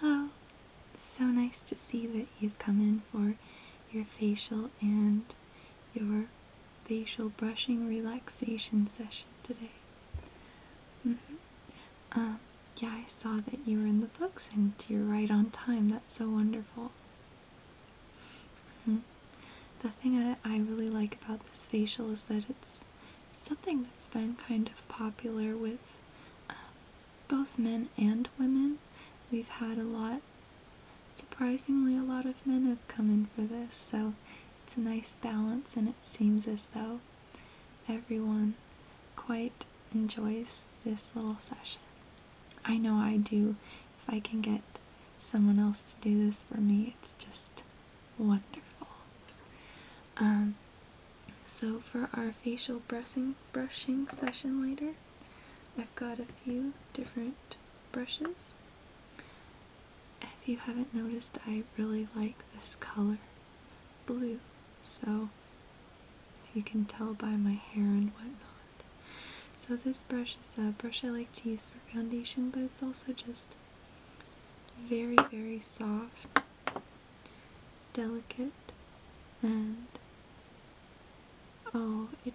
Hello. So nice to see that you've come in for your facial and your facial brushing relaxation session today. Mm-hmm. Um, yeah, I saw that you were in the books and you're right on time. That's so wonderful. Mm-hmm. The thing I really like about this facial is that it's something that's been kind of popular with um, both men and women. We've had a lot, surprisingly, a lot of men have come in for this, so it's a nice balance, and it seems as though everyone quite enjoys this little session. I know I do. If I can get someone else to do this for me, it's just wonderful. Um, so for our facial brushing, brushing session later, I've got a few different brushes. If you haven't noticed, I really like this color, blue, so you can tell by my hair and whatnot. So this brush is a brush I like to use for foundation, but it's also just very, very soft delicate and oh it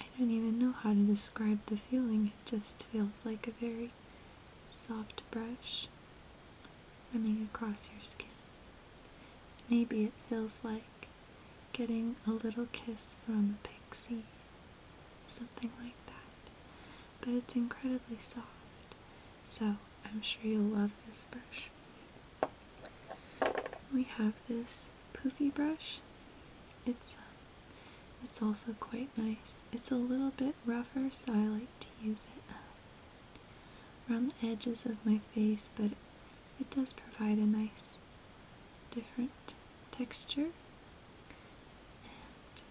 I don't even know how to describe the feeling it just feels like a very soft brush running across your skin maybe it feels like getting a little kiss from a pixie something like that but it's incredibly soft. So I'm sure you'll love this brush. We have this poofy brush. It's um, it's also quite nice. It's a little bit rougher, so I like to use it uh, around the edges of my face, but it does provide a nice different texture and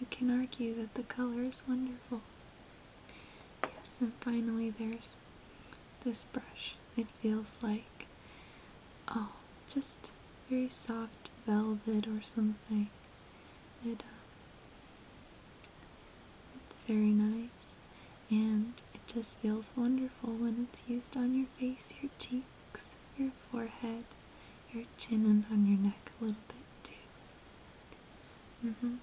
you can argue that the color is wonderful. Yes, and finally there's this brush. It feels like, oh, just very soft velvet or something. It, um, it's very nice, and it just feels wonderful when it's used on your face, your cheeks, your forehead your chin and on your neck a little bit too. hmm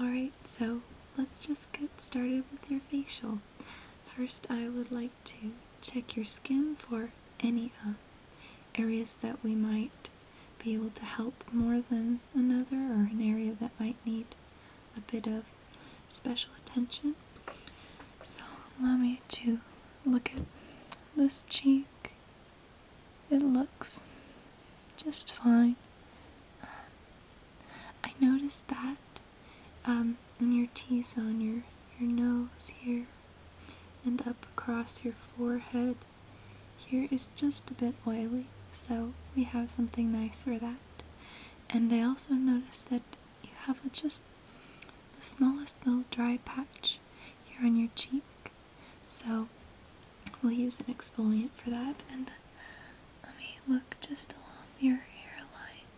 Alright, so let's just get started with your facial. First, I would like to check your skin for any uh, areas that we might be able to help more than another or an area that might need a bit of special attention. So allow me to look at this cheek. It looks just fine. Um, I noticed that um, in your T zone, your, your nose here, and up across your forehead here is just a bit oily, so we have something nice for that. And I also noticed that you have just the smallest little dry patch here on your cheek. So we'll use an exfoliant for that. And let me look just along your hairline.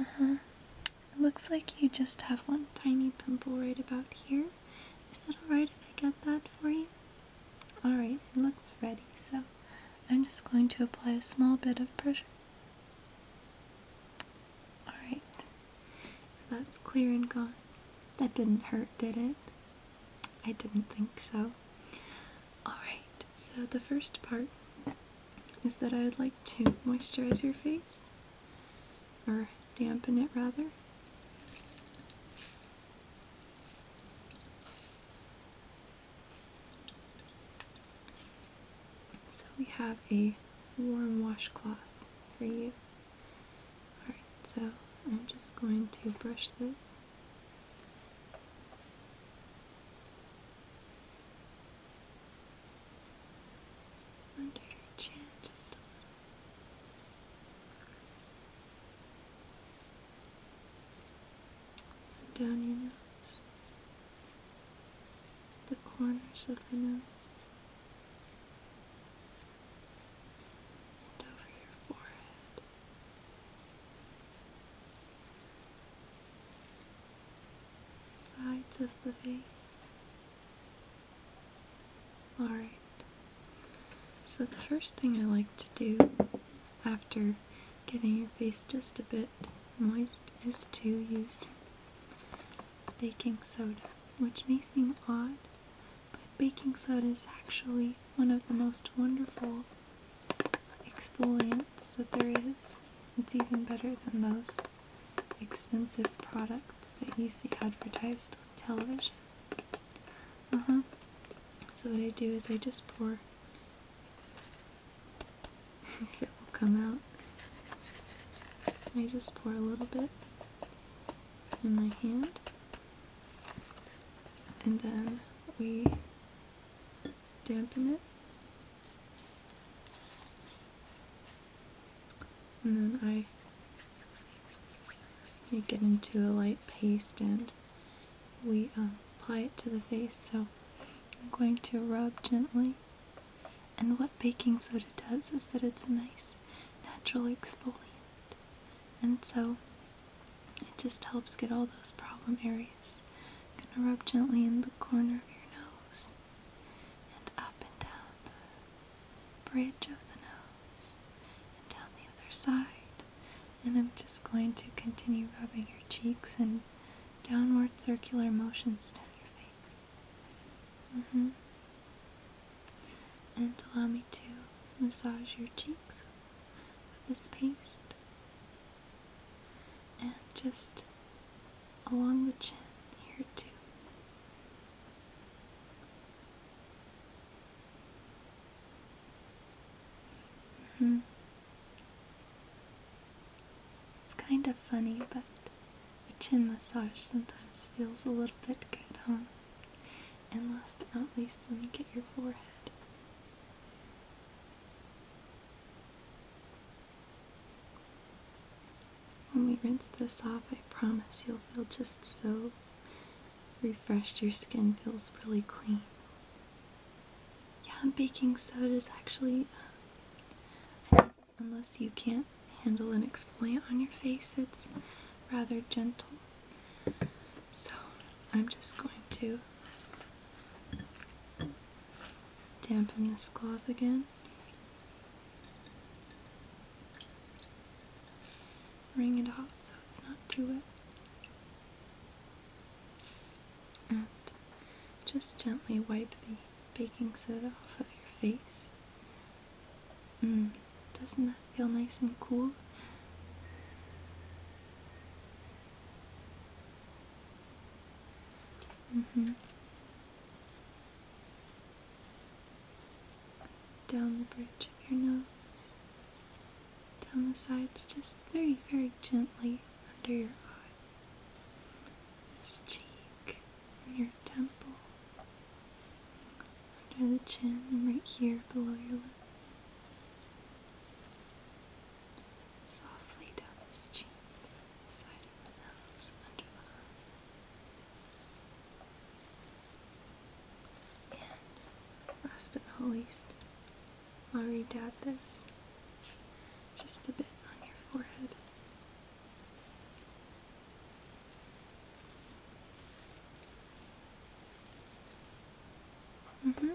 Uh huh. It looks like you just have one tiny pimple right about here. Is that alright if I get that for you? Alright, it looks ready. So I'm just going to apply a small bit of pressure Alright. That's clear and gone. That didn't hurt, did it? I didn't think so. Alright, so the first part is that I would like to moisturize your face, or dampen it rather. So we have a warm washcloth for you. Alright, so I'm just going to brush this. Under your chin, just a little. And down your nose the corners of the nose, and over your forehead. Sides of the face. Alright, so the first thing I like to do after getting your face just a bit moist is to use baking soda, which may seem odd, but baking soda is actually one of the most wonderful exfoliants that there is. It's even better than those expensive products that you see advertised on television. Uh-huh. So, what I do is I just pour if it will come out. I just pour a little bit in my hand, and then we dampen it. And then I make it into a light paste and we uh, apply it to the face. So I'm going to rub gently. And what baking soda does is that it's a nice natural exfoliant. And so it just helps get all those problem areas. I'm going to rub gently in the corner of your nose and up and down the bridge of the nose and down the other side. And I'm just going to continue rubbing your cheeks and downward circular motions down your face. Mm-hmm. And allow me to massage your cheeks with this paste. And just along the chin here, too. hmm. It's kind of funny, but a chin massage sometimes feels a little bit good, huh? And last but not least, let me get your forehead. When we rinse this off, I promise you'll feel just so refreshed. Your skin feels really clean. Yeah, baking soda is actually, um, unless you can't handle an exfoliant on your face, it's rather gentle. So I'm just going to dampen this cloth again. Wring it off so it's not too wet. And just gently wipe the baking soda off of your face. Mm, doesn't that feel nice and cool? Mm-hmm. Down the bridge of your nose, down the sides just very, very gently under your eyes, this cheek, and your temple, under the chin, and right here below your lip. Softly down this cheek, the side of the nose, under the eye. And last but not least, I'll redab this just a bit on your forehead. Mm hmm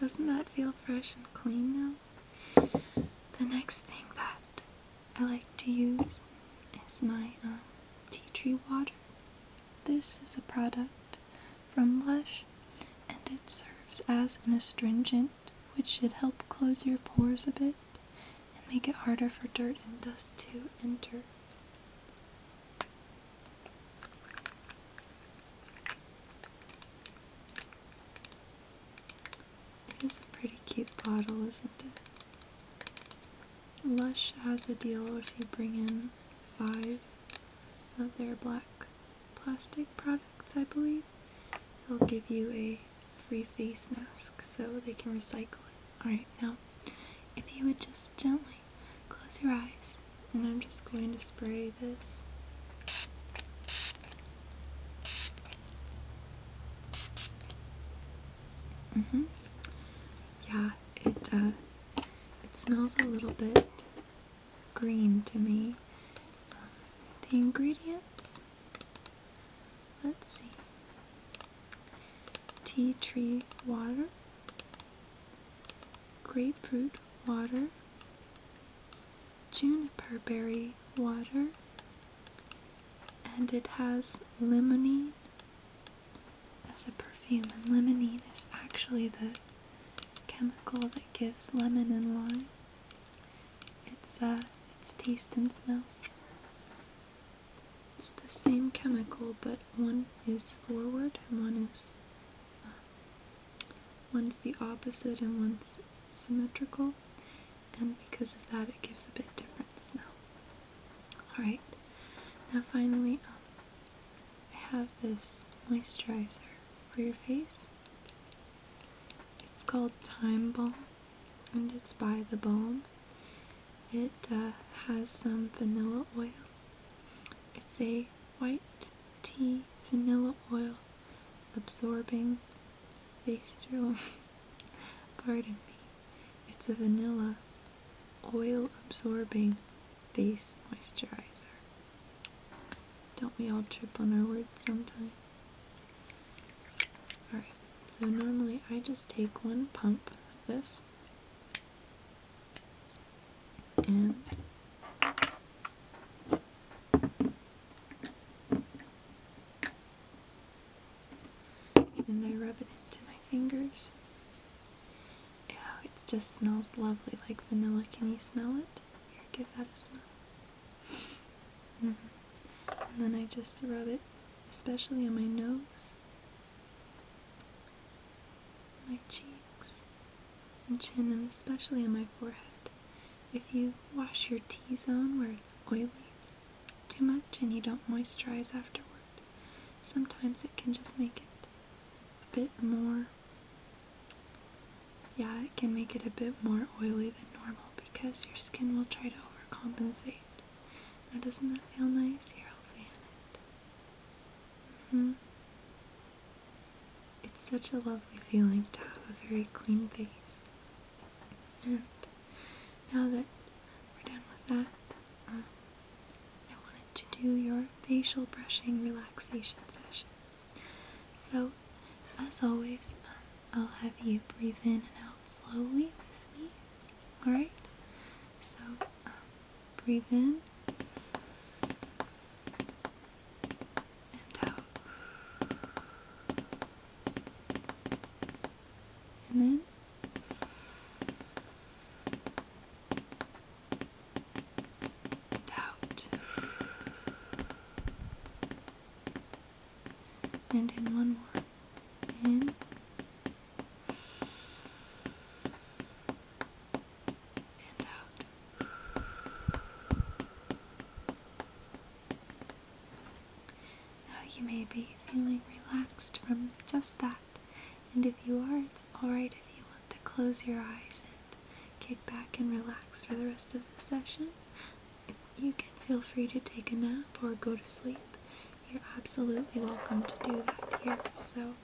Doesn't that feel fresh and clean now? The next thing that I like to use is my um, tea tree water. This is a product from Lush, and it serves as an astringent, which should help close your pores a bit and make it harder for dirt and dust to enter. It is a pretty cute bottle, isn't it? Lush has a deal if you bring in five of their black plastic products, I believe, they'll give you a free face mask so they can recycle it. Alright, now if you would just gently close your eyes, and I'm just going to spray this. Mm hmm Yeah, it uh, it smells a little bit green to me. The ingredients, let's see tea tree water, grapefruit water, juniper berry water, and it has limonene, as a perfume, and lemonine is actually the chemical that gives lemon and lime its uh, its taste and smell. It's the same chemical, but one is forward and one is uh, one's the opposite and one's symmetrical, and because of that, it gives a bit different smell. All right, now finally. Um, I have this moisturizer for your face. It's called Time Balm and it's by The Balm. It uh, has some vanilla oil. It's a white tea vanilla oil absorbing facial. Pardon me. It's a vanilla oil absorbing base moisturizer. Don't we all trip on our words sometimes? Alright, so normally I just take one pump of this and and I rub it into my fingers Oh, it just smells lovely like vanilla. Can you smell it? Here, give that a smell. Mm-hmm. And then I just rub it, especially on my nose, my cheeks, and chin, and especially on my forehead. If you wash your T zone where it's oily too much and you don't moisturize afterward, sometimes it can just make it a bit more. Yeah, it can make it a bit more oily than normal because your skin will try to overcompensate. Now, doesn't that feel nice? Here, I'll fan it. Mm-hmm. It's such a lovely feeling to have a very clean face. And now that we're done with that, um, I wanted to do your facial brushing relaxation session. So, as always, um, I'll have you breathe in and out slowly with me. Alright? So, um, breathe in and out. And in doubt. And in one more. In. And out. Now you may be feeling relaxed from just that. And if you are, it's alright if you want to close your eyes and kick back and relax for the rest of the session. You can feel free to take a nap or go to sleep. You're absolutely welcome to do that here. So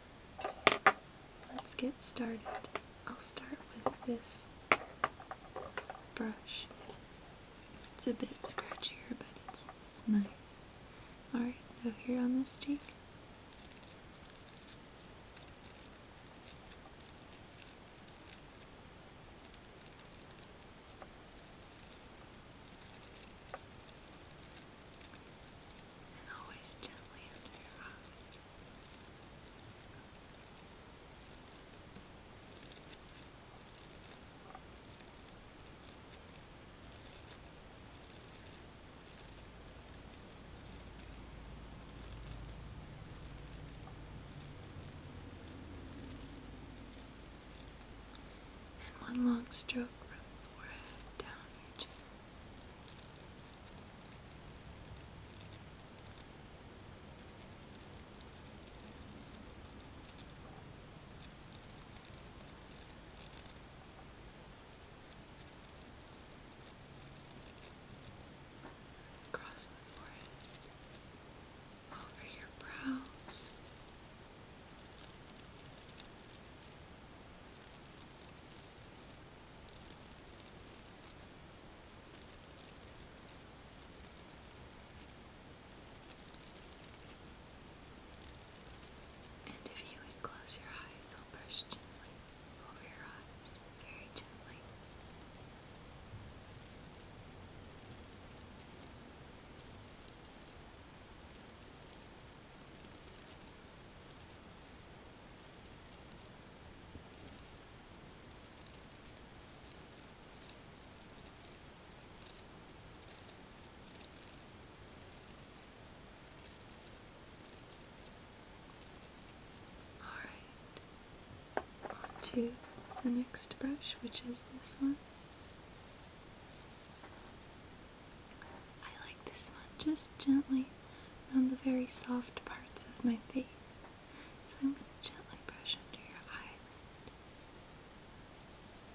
let's get started. I'll start with this brush. It's a bit scratchier, but it's it's nice. Alright, so here on this cheek, and always gently under your eye. Good. And one long stroke from forehead down your chin across the forehead, over your brows. And if you would close your eyes, I'll brush gently over your eyes, very gently. Alright, to the next brush, which is this one. I like this one just gently on the very soft parts of my face. So I'm going to gently brush under your eyelid.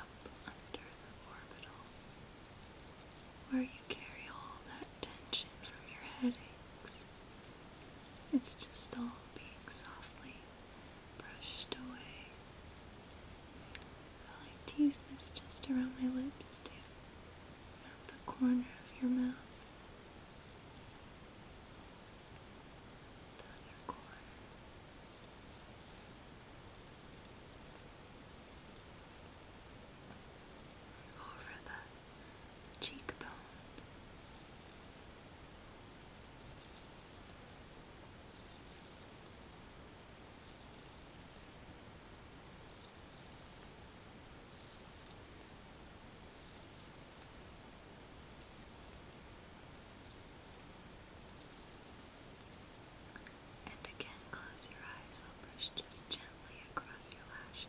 up under the orbital, where you carry all that tension from your headaches. It's just all being softly brushed away. I like to use this just around my lips too, not the corner of your mouth. Over the cheekbone. And again, close your eyes. I'll brush just gently across your lashes.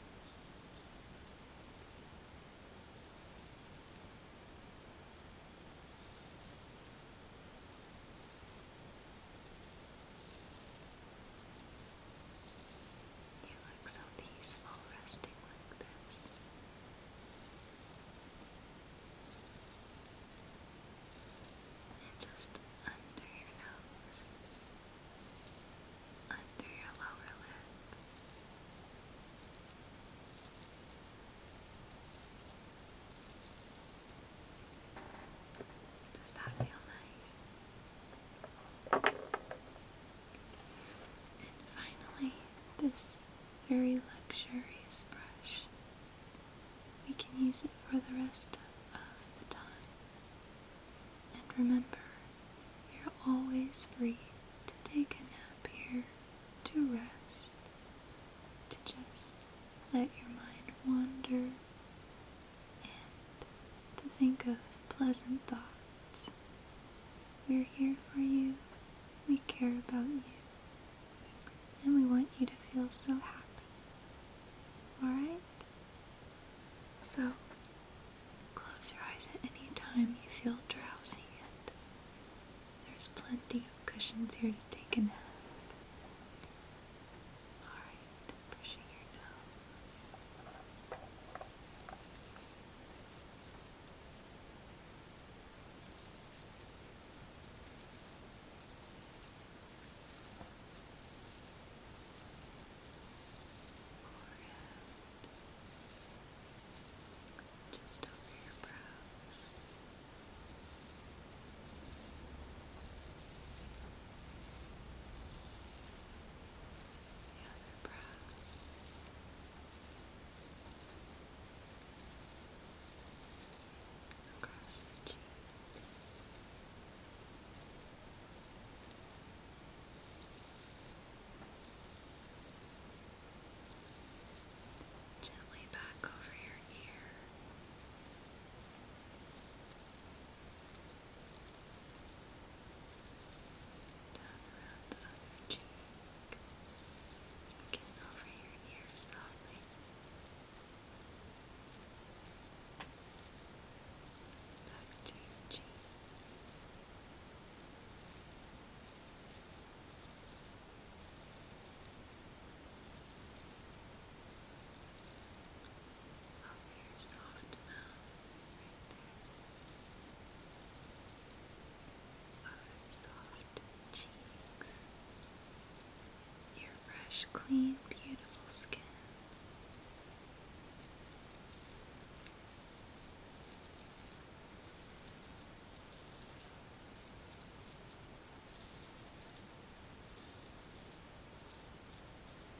You look so peaceful resting like this. And just under your nose, under your lower lip. Does that feel nice? And finally, this very luxurious brush. We can use it for the rest of the time. And remember, you're always free to take a nap here, to rest, to just let your mind wander and to think of pleasant thoughts. We're here for you, we care about you, and we want you to feel so happy. Alright? So, close your eyes at any time you feel drowsy, and there's plenty of cushions here to take a nap. Alright, pushing your nose. Just over your brows the other brow. Across the cheek. Gently back over your ear. Down around the other cheek. Again over your ear softly. Back your cheek. Up soft mouth, right soft cheeks. Your clean, beautiful skin.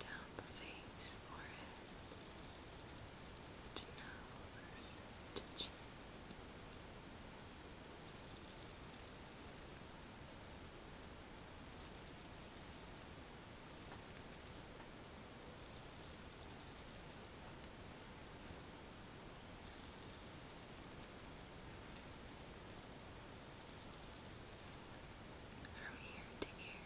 down the face, forehead, to nose, to chin from ear to ear. Your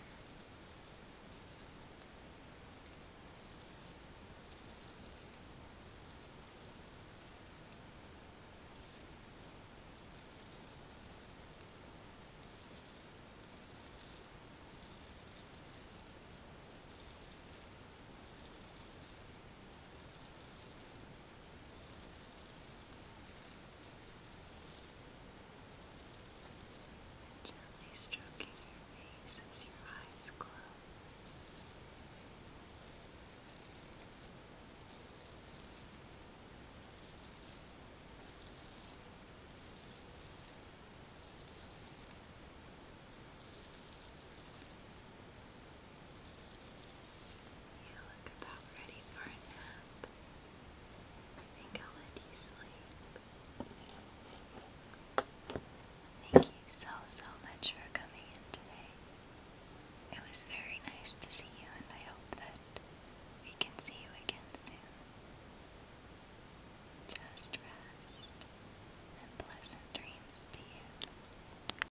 Gently stroking your face as your eyes close. You look about ready for a nap. I think I'll let you sleep. Thank you so, so much for coming in today. It was very nice to see you, and I hope that we can see you again soon. Just rest, and pleasant dreams to you.